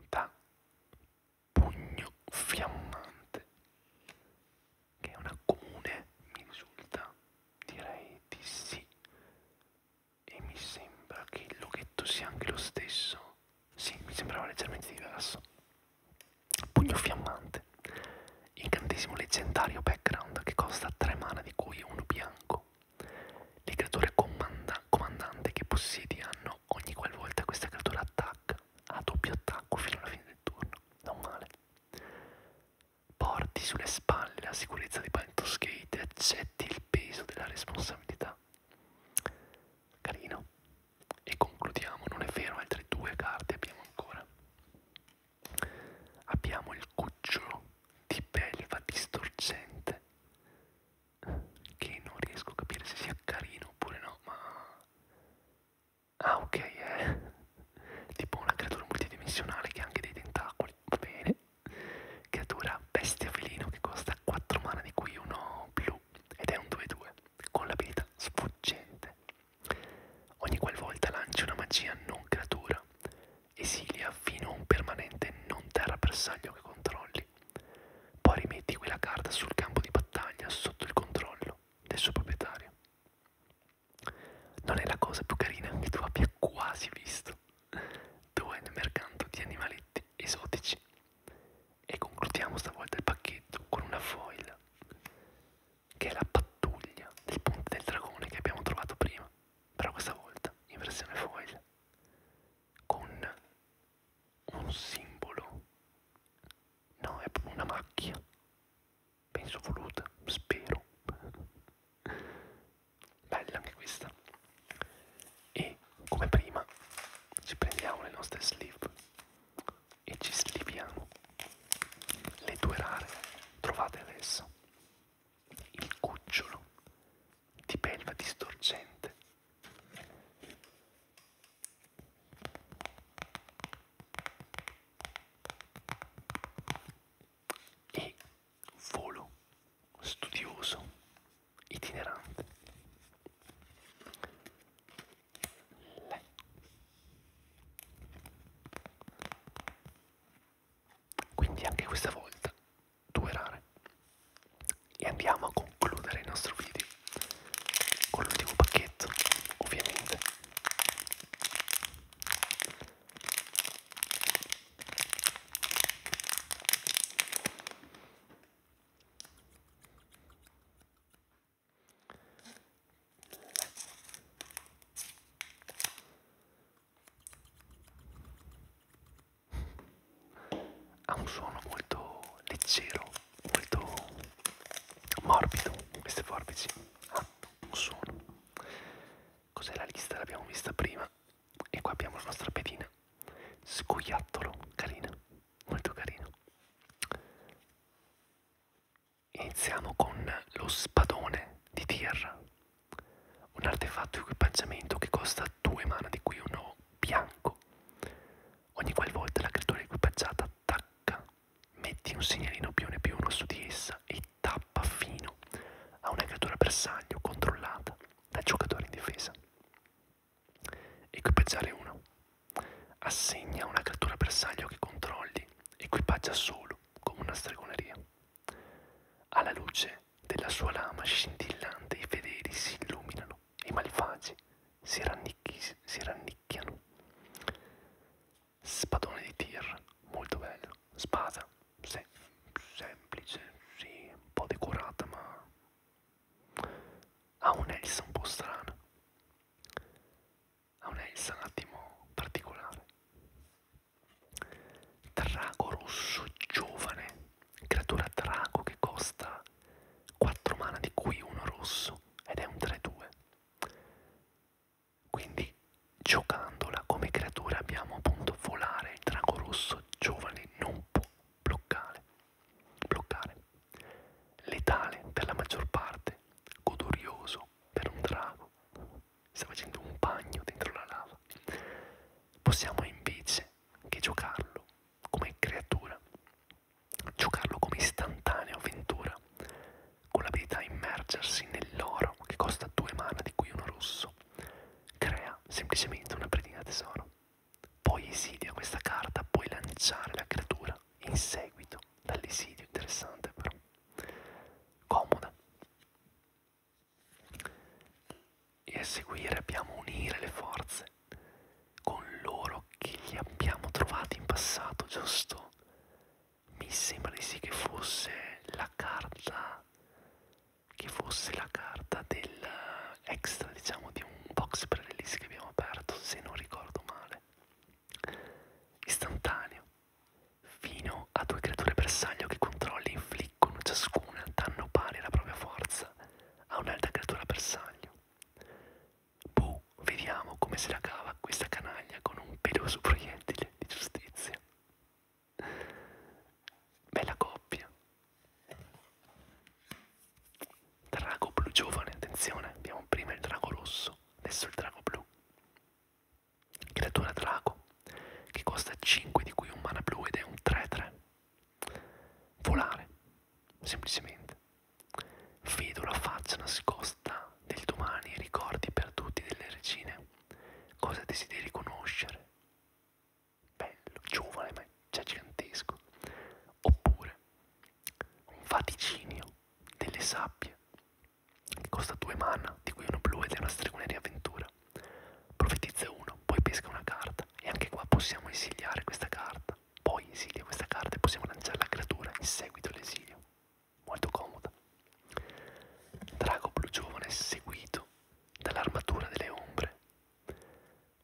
Speaker 1: da Pugno Fiammante. Che è una comune, mi risulta, direi di sì e mi sembra che il loghetto sia anche lo stesso. Sì, mi sembrava leggermente diverso. Pugno fiammante. Incantesimo leggendario background che costa 3 mana di cui uno bianco. Le creature comanda comandante che possiedi hanno ogni qualvolta questa creatura attacca, a doppio attacco fino alla fine del turno. Non male. Porti sulle spalle la sicurezza di Baldur's Gate e accetti il peso della responsabilità. Carino. E concludiamo, non è vero, altre due carte abbiamo ancora. Abbiamo il cucciolo di belva distorcente, che non riesco a capire se sia carino oppure no, ma... Ah ok, è eh. tipo una creatura multidimensionale che ha anche dei tentacoli, va bene. Creatura bestia felino che costa 4 mana di cui uno blu ed è un 2-2 con l'abilità sfuggente. Ogni qualvolta lanci una magia non creatura, esilia fino a un permanente non terra bersaglio che controlli. Poi rimetti quella carta sul campo di battaglia sotto il controllo del suo proprietario. Non è la cosa più carina che tu abbia quasi visto, 2 nel mercato di animaletti esotici e concludiamo stavolta il pacchetto con una foil che è la pattuglia del ponte del dragone che abbiamo trovato prima però questa volta in versione foil con un simbolo no è proprio una macchia penso voluta spero bella anche questa e come prima ci prendiamo le nostre sleeve e ci sliviamo le due rare trovate adesso il cucciolo di belva distorcente e volo studioso, itinerante. Le. Quindi anche questa volta due rare. E andiamo a concludere il nostro video con l'ultimo pacchetto, ovviamente ha un suono molto leggero, molto morbido queste forbici hanno un suono cos'è la lista l'abbiamo vista prima e qua abbiamo la nostra pedina scoiattolo, carina, molto carina. Iniziamo con lo spadone di Tyr, un artefatto equipaggiamento che costa 2 mana, di cui uno bianco. Ogni qualvolta la creatura equipaggiata attacca, metti un segnalino più più uno su di essa e tappa fino a una creatura bersaglio controllata da giocatore in difesa. Equipaggiare 1. Assegna una creatura bersaglio che controlli, equipaggia solo come una stregoneria. Alla luce della sua lama scintillante i fedeli si illuminano, i malvagi si, si rannicchiano. Spadone di tir, molto bello. Spada, se semplice, sì, un po' decorata ma ha un'Elsa un po' strana, ha un'Elsa un attimo particolare. Drago rosso giovane, creatura drago che costa 4 mana di cui uno rosso ed è un 3-2. Quindi giocandola come creatura abbiamo appunto volare, il drago rosso giovane non può bloccare bloccare, letale per la maggior parte, godorioso per un drago, sta facendo un bagno dentro la lava. Possiamo invece che giocarlo come creatura, giocarlo come istantanea avventura, con l'abilità immergersi nell'oro che costa due mana di cui uno rosso, crea semplicemente una predina tesoro. Poi esidia questa carta, puoi lanciare la creatura in seguito dall'esidio, interessante però. Comoda. E a seguire abbiamo unire le forze con loro che li abbiamo trovati in passato, giusto? Mi sembra di sì che fosse la carta che fosse la carta del eh, extra diciamo di un box pre-release che abbiamo aperto se non ricordo male istantaneo fino a due creature bersaglio che controlli infliggono ciascuna danno pari alla propria forza a un'altra creatura bersaglio boh vediamo come se la cava questa canaglia con un peloso proiettile di giustizia bella coppia Drago blu giovane, attenzione, abbiamo prima il drago rosso, adesso il drago blu. Creatura drago, che costa 5 di cui un mana blu ed è un 3-3. Volare, semplicemente. Vedo la faccia nascosta del domani, ricordi perduti delle regine, cosa desideri conoscere bello, giovane ma già gigantesco, oppure un vaticinio delle sabbie che costa due mana, di cui uno blu ed è una stregoneria avventura. Profetizza uno, poi pesca una carta e anche qua possiamo esiliare questa carta, poi esilia questa carta e possiamo lanciare la creatura in seguito all'esilio. Molto comoda. Drago blu giovane seguito dall'armatura delle ombre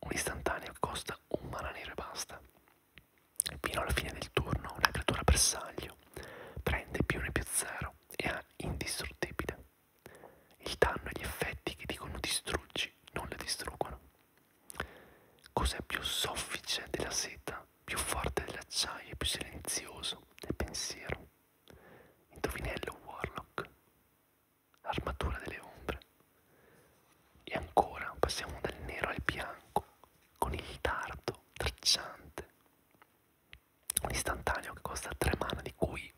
Speaker 1: un istantaneo che costa un mana nero e basta. Fino alla fine del turno una creatura bersaglio prende più 1 più 0 e ha indistruttibile. Il danno e gli effetti che dicono distruggi non le distruggono. Cos'è più soffice della seta, più forte dell'acciaio e più silenzioso del pensiero? Indovinello Warlock armatura delle ombre. E ancora passiamo dal nero al bianco, con il tardo tracciante, un istantaneo che costa tre mana, di cui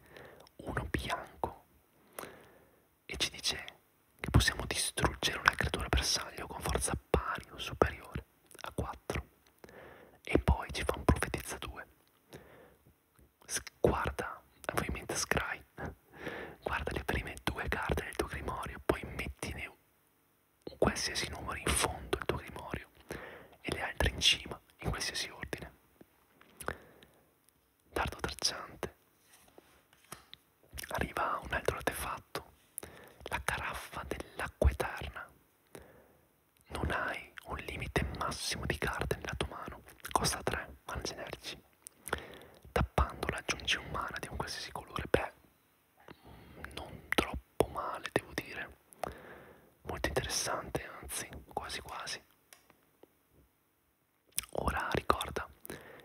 Speaker 1: uno bianco, e ci dice che possiamo distruggere una creatura bersaglio con forza pari o superiore a 4. E poi ci fa un profetizza 2, guarda, ovviamente Scry, guarda le prime due carte del tuo grimorio, poi mettine un qualsiasi numero in fondo al tuo grimorio e le altre in cima, in qualsiasi ordine. Dardo tracciante. Arriva un altro artefatto, la caraffa dell'acqua eterna. Non hai un limite massimo di carte nella tua mano, costa 3 mana generici. Tappandola aggiungi un mana di un qualsiasi colore, beh, non troppo male devo dire, molto interessante anzi, quasi quasi. Ora ricorda,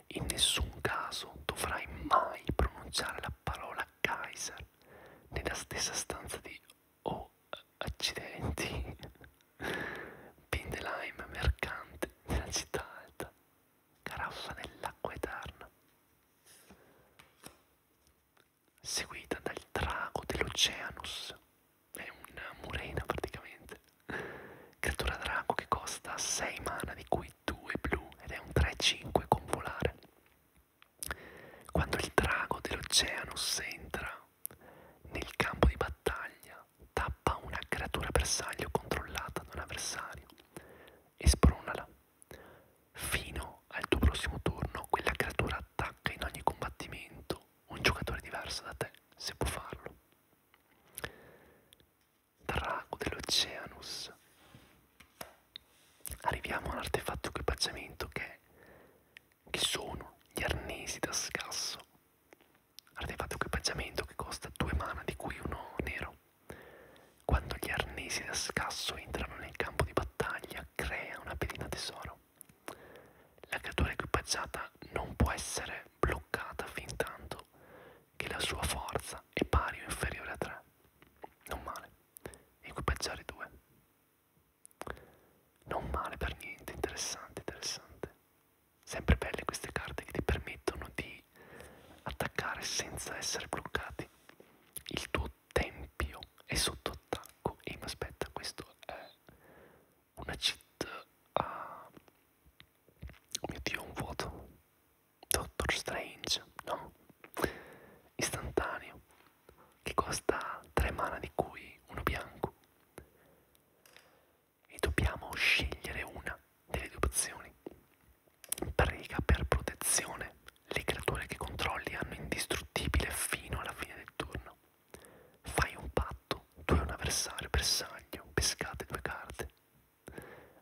Speaker 1: in nessun caso dovrai mai pronunciare la parola Kaiser nella stessa stanza di O oh, accidenti. Pin de lime mercante della città alta, caraffa dell'acqua eterna, seguita dal drago dell'Oceanus, è una murena praticamente, creatura drago che costa 6 mana di cui 2 blu ed è un 3-5 con volare. Quando il drago dell'Oceanus entra nel campo di battaglia tappa una creatura bersaglio controllata da un avversario e spronala. Fino al tuo prossimo turno quella creatura attacca in ogni combattimento un giocatore diverso da te, se può farlo. Drago dell'Oceanus. Arriviamo a un artefatto equipaggiamento che, che sono gli arnesi da scasso artefatto equipaggiamento che costa 2 mana di cui uno nero. Quando gli arnesi da scasso entrano nel campo di battaglia crea una pedina tesoro. La creatura equipaggiata non può essere bloccata fin tanto che la sua forza è pari o inferiore a 3. Non male. Equipaggiare 2. Non male per niente, interessante, interessante. Sempre belle queste carte che ti permettono di attaccare senza essere bloccati. Il tuo tempio è sotto attacco. E mi aspetta, questo è una cheat a... Ah, oh mio Dio, un vuoto. Doctor Strange, no? Istantaneo. Che costa 3 mana di cui uno bianco e dobbiamo scegliere una delle due opzioni. Prega per protezione, le creature che controlli hanno indistruttibile fino alla fine del turno. Fai un patto, tu e un avversario bersaglio, pescate due carte.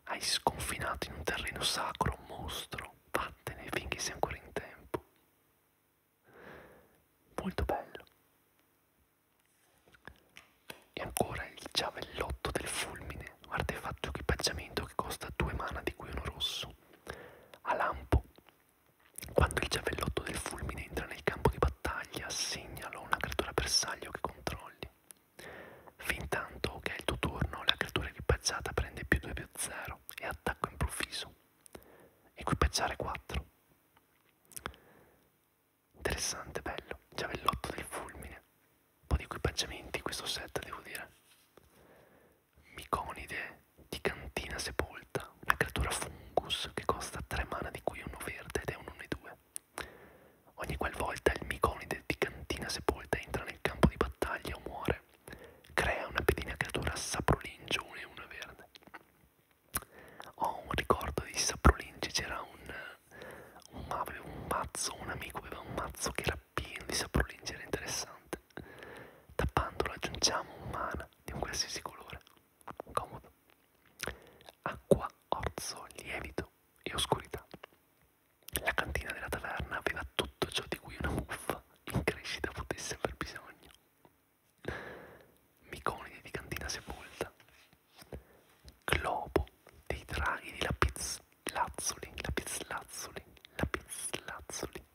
Speaker 1: Hai sconfinato in un terreno sacro un mostro, vattene finché sei ancora in tempo. Molto bello. E ancora il ciavellotto del fulmine, un artefatto equipaggiamento che costa due mana di cui uno rosso. A lampo, quando il ciavellotto del fulmine entra nel campo di battaglia, segnalo una creatura bersaglio che controlli. Fintanto che è il tuo turno, la creatura equipaggiata prende più 2 più 0 e attacco improvviso. Equipaggiare 4. Interessante, bello. Giavellotto del fulmine. Un po' di equipaggiamenti questo set, devo dire. Miconide di cantina sepolta. Una creatura fungus che costa 3 mana di cui uno verde ed è un 1-2. Ogni qualvolta il miconide di cantina sepolta entra nel campo di battaglia o muore, crea una pedina creatura saprolinge 1 e 1 verde ho un ricordo di Saprolingi, c'era un, un, un mazzo, un amico aveva un mazzo che era pieno di Saprolingi, era interessante. Tappandolo aggiungiamo un mana di un qualsiasi colore, comodo. Acqua, orzo, lievito e oscurità. La cantina della taverna aveva tutto ciò di cui una muffa in crescita potesse aver bisogno. Miconidi di cantina sepolta, globo dei draghi di Lapislazzuli, Lapislazzuli, Lapislazzuli.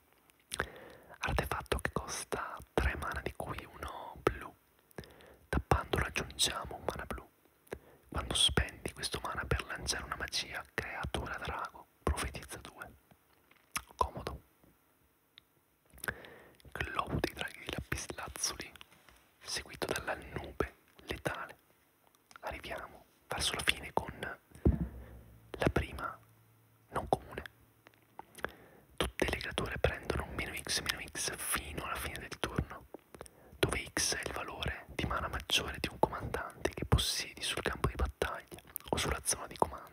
Speaker 1: Artefatto che costa 3 mana di cui uno blu. Tappando raggiungiamo un mana blu. Quando spendi questo mana per lanciare una magia, creatura drago, profetizza 2. Comodo. Globo dei draghi di Lapislazzuli seguito dalla nube letale. Arriviamo verso la fine con la prima non comune. Tutte le creature prendono meno x meno x fino alla fine del turno, dove x è il valore di mana maggiore di un comandante che possiedi sul campo di battaglia o sulla zona di comando.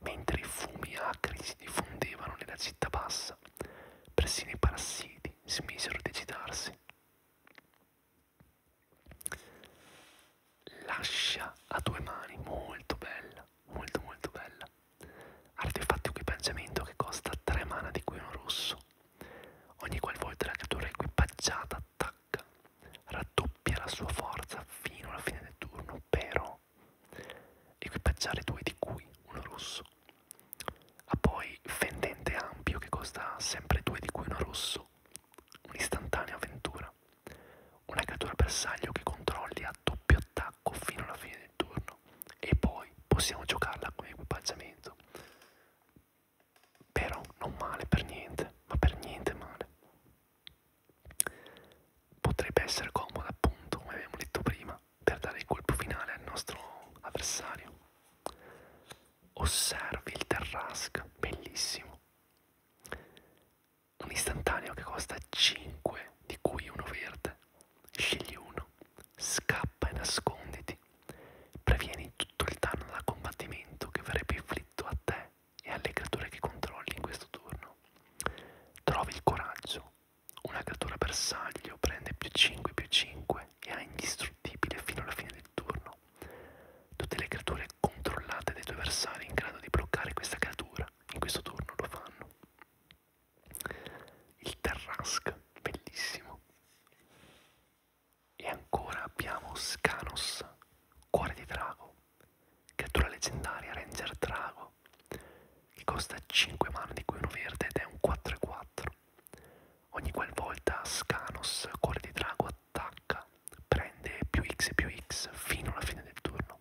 Speaker 1: Mentre i fumi acri si diffondevano nella città bassa, casa. Persino i parassiti smisero di agitarsi. L'ascia a due mani, molto bella, molto molto bella. Artefatto equipaggiamento che costa 3 mana di cui uno rosso. Ogni qualvolta la creatura equipaggiata attacca, raddoppia la sua forza fino alla fine del turno, però equipaggiare due di cui uno rosso. Ha poi fendente ampio che costa sempre due di cui uno rosso, un'istantanea avventura, una creatura bersaglio che controlli a doppio attacco fino alla fine del turno e poi possiamo giocarla come equipaggiamento. Però non male per niente, ma per niente male. Potrebbe essere comoda appunto, come abbiamo detto prima, per dare il colpo finale al nostro avversario. Osservi il Terrask, bellissimo. Un istantaneo che costa 5, di cui uno verde. Scegli uno, scappa e nasconditi. Previeni tutto il danno da combattimento che verrebbe inflitto a te e alle creature che controlli in questo turno. Trovi il coraggio una creatura bersaglio prende più 5 più 5 e è indistruttibile fino alla fine del turno. Tutte le creature controllate dai tuoi avversari in grado di bloccare questa creatura in questo turno lo fanno. Il Terrask, bellissimo. E ancora abbiamo Scanos, cuore di drago. Creatura leggendaria, Ranger Drago nuovo che costa 5 mana di cui uno verde ed è un 4-4 ogni qualvolta Scanos cuore di drago attacca prende più x e più x fino alla fine del turno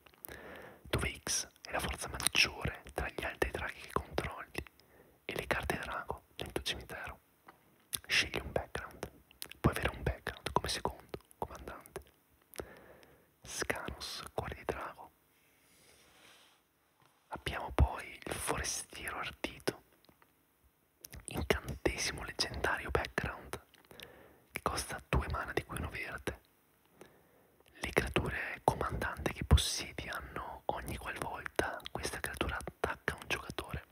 Speaker 1: dove x è la forza maggiore tra gli altri draghi che controlli e le carte drago nel tuo cimitero scegli un background puoi avere un background come secondo comandante Scanos cuore di drago Abbiamo poi il forestiero ardito, incantesimo leggendario background, che costa due mana di cui uno verde. Le creature comandante che possiedi hanno ogni qualvolta questa creatura attacca un giocatore.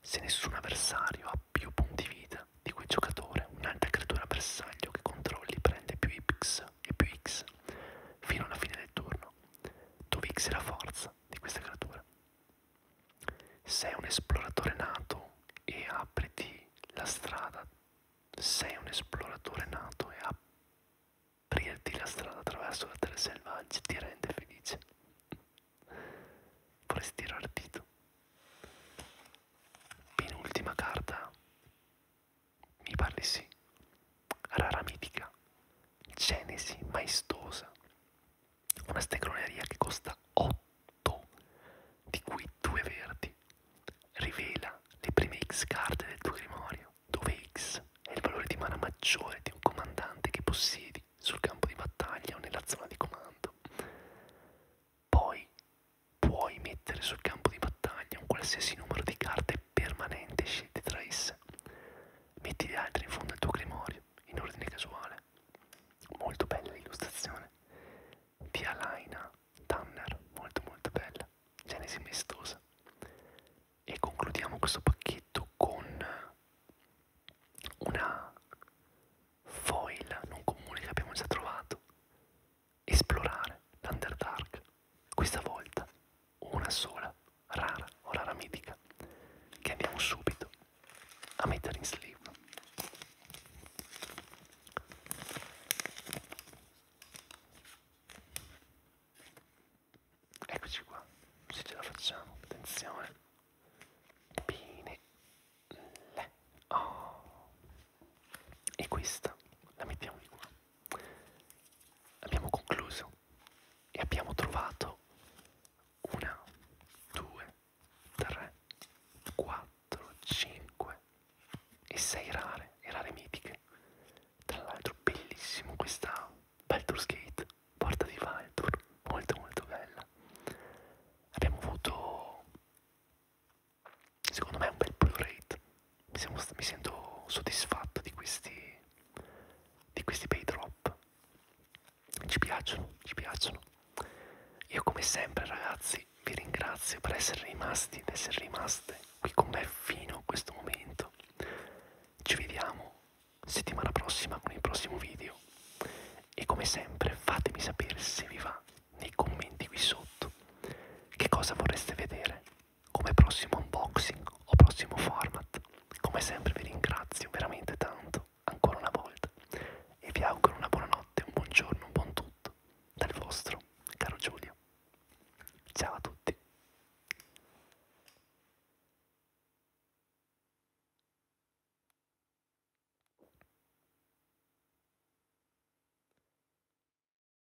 Speaker 1: Se nessun avversario ha più punti vita di quel giocatore, un'altra creatura bersaglio che controlli prende più Y X e più X fino alla fine del turno, dove X è la forza di questa creatura. Sei un esploratore nato e apriti la strada. Sei un esploratore nato e aprirti la strada attraverso la terra selvaggia ti rende felice. Vorresti tirare il dito. Penultima carta mi parli sì. Rara mitica. Genesi maestosa. Una stecroneria che costa 8, di cui 2 verdi. Rivela le prime X carte del tuo grimorio, dove X è il valore di mana maggiore di un comandante che possiedi sul campo di battaglia o nella zona di comando. Poi puoi mettere sul campo di battaglia un qualsiasi numero di carte permanente scelte tra esse. Metti le altre in fondo al tuo grimorio, in ordine casuale. Molto bella l'illustrazione. Di Alaina Tanner, molto molto bella. Genesi maestosa. E concludiamo questo pacchetto con una foil non comune che abbiamo già trovato esplorare l'Underdark, questa volta una sola, rara o rara mitica, che andiamo subito a mettere in sleeve. Eccoci qua, se ce la facciamo, attenzione. Bene. Le. Oh. E questa la mettiamo di qua. Abbiamo concluso e abbiamo trovato una, due, tre, quattro, cinque e sei rare e rare mitiche. Tra l'altro bellissimo questa Baldur's Gate, porta di Valdur, molto molto bella. Abbiamo avuto secondo me un bel pull rate mi, siamo, mi sento soddisfatto di questi, di questi bei drop. Ci piacciono, ci piacciono. Io come sempre ragazzi vi ringrazio per essere rimasti ed essere rimaste qui con me fino a questo momento. Ci vediamo settimana prossima con il prossimo video e come sempre fatemi sapere se vi va nei commenti qui sotto che cosa vorreste vedere come prossimo unboxing o prossimo format. Come sempre vi ringrazio veramente tanto, ancora una volta, e vi auguro una buona notte, un buon giorno, un buon tutto, dal vostro caro Giulio. Ciao a tutti.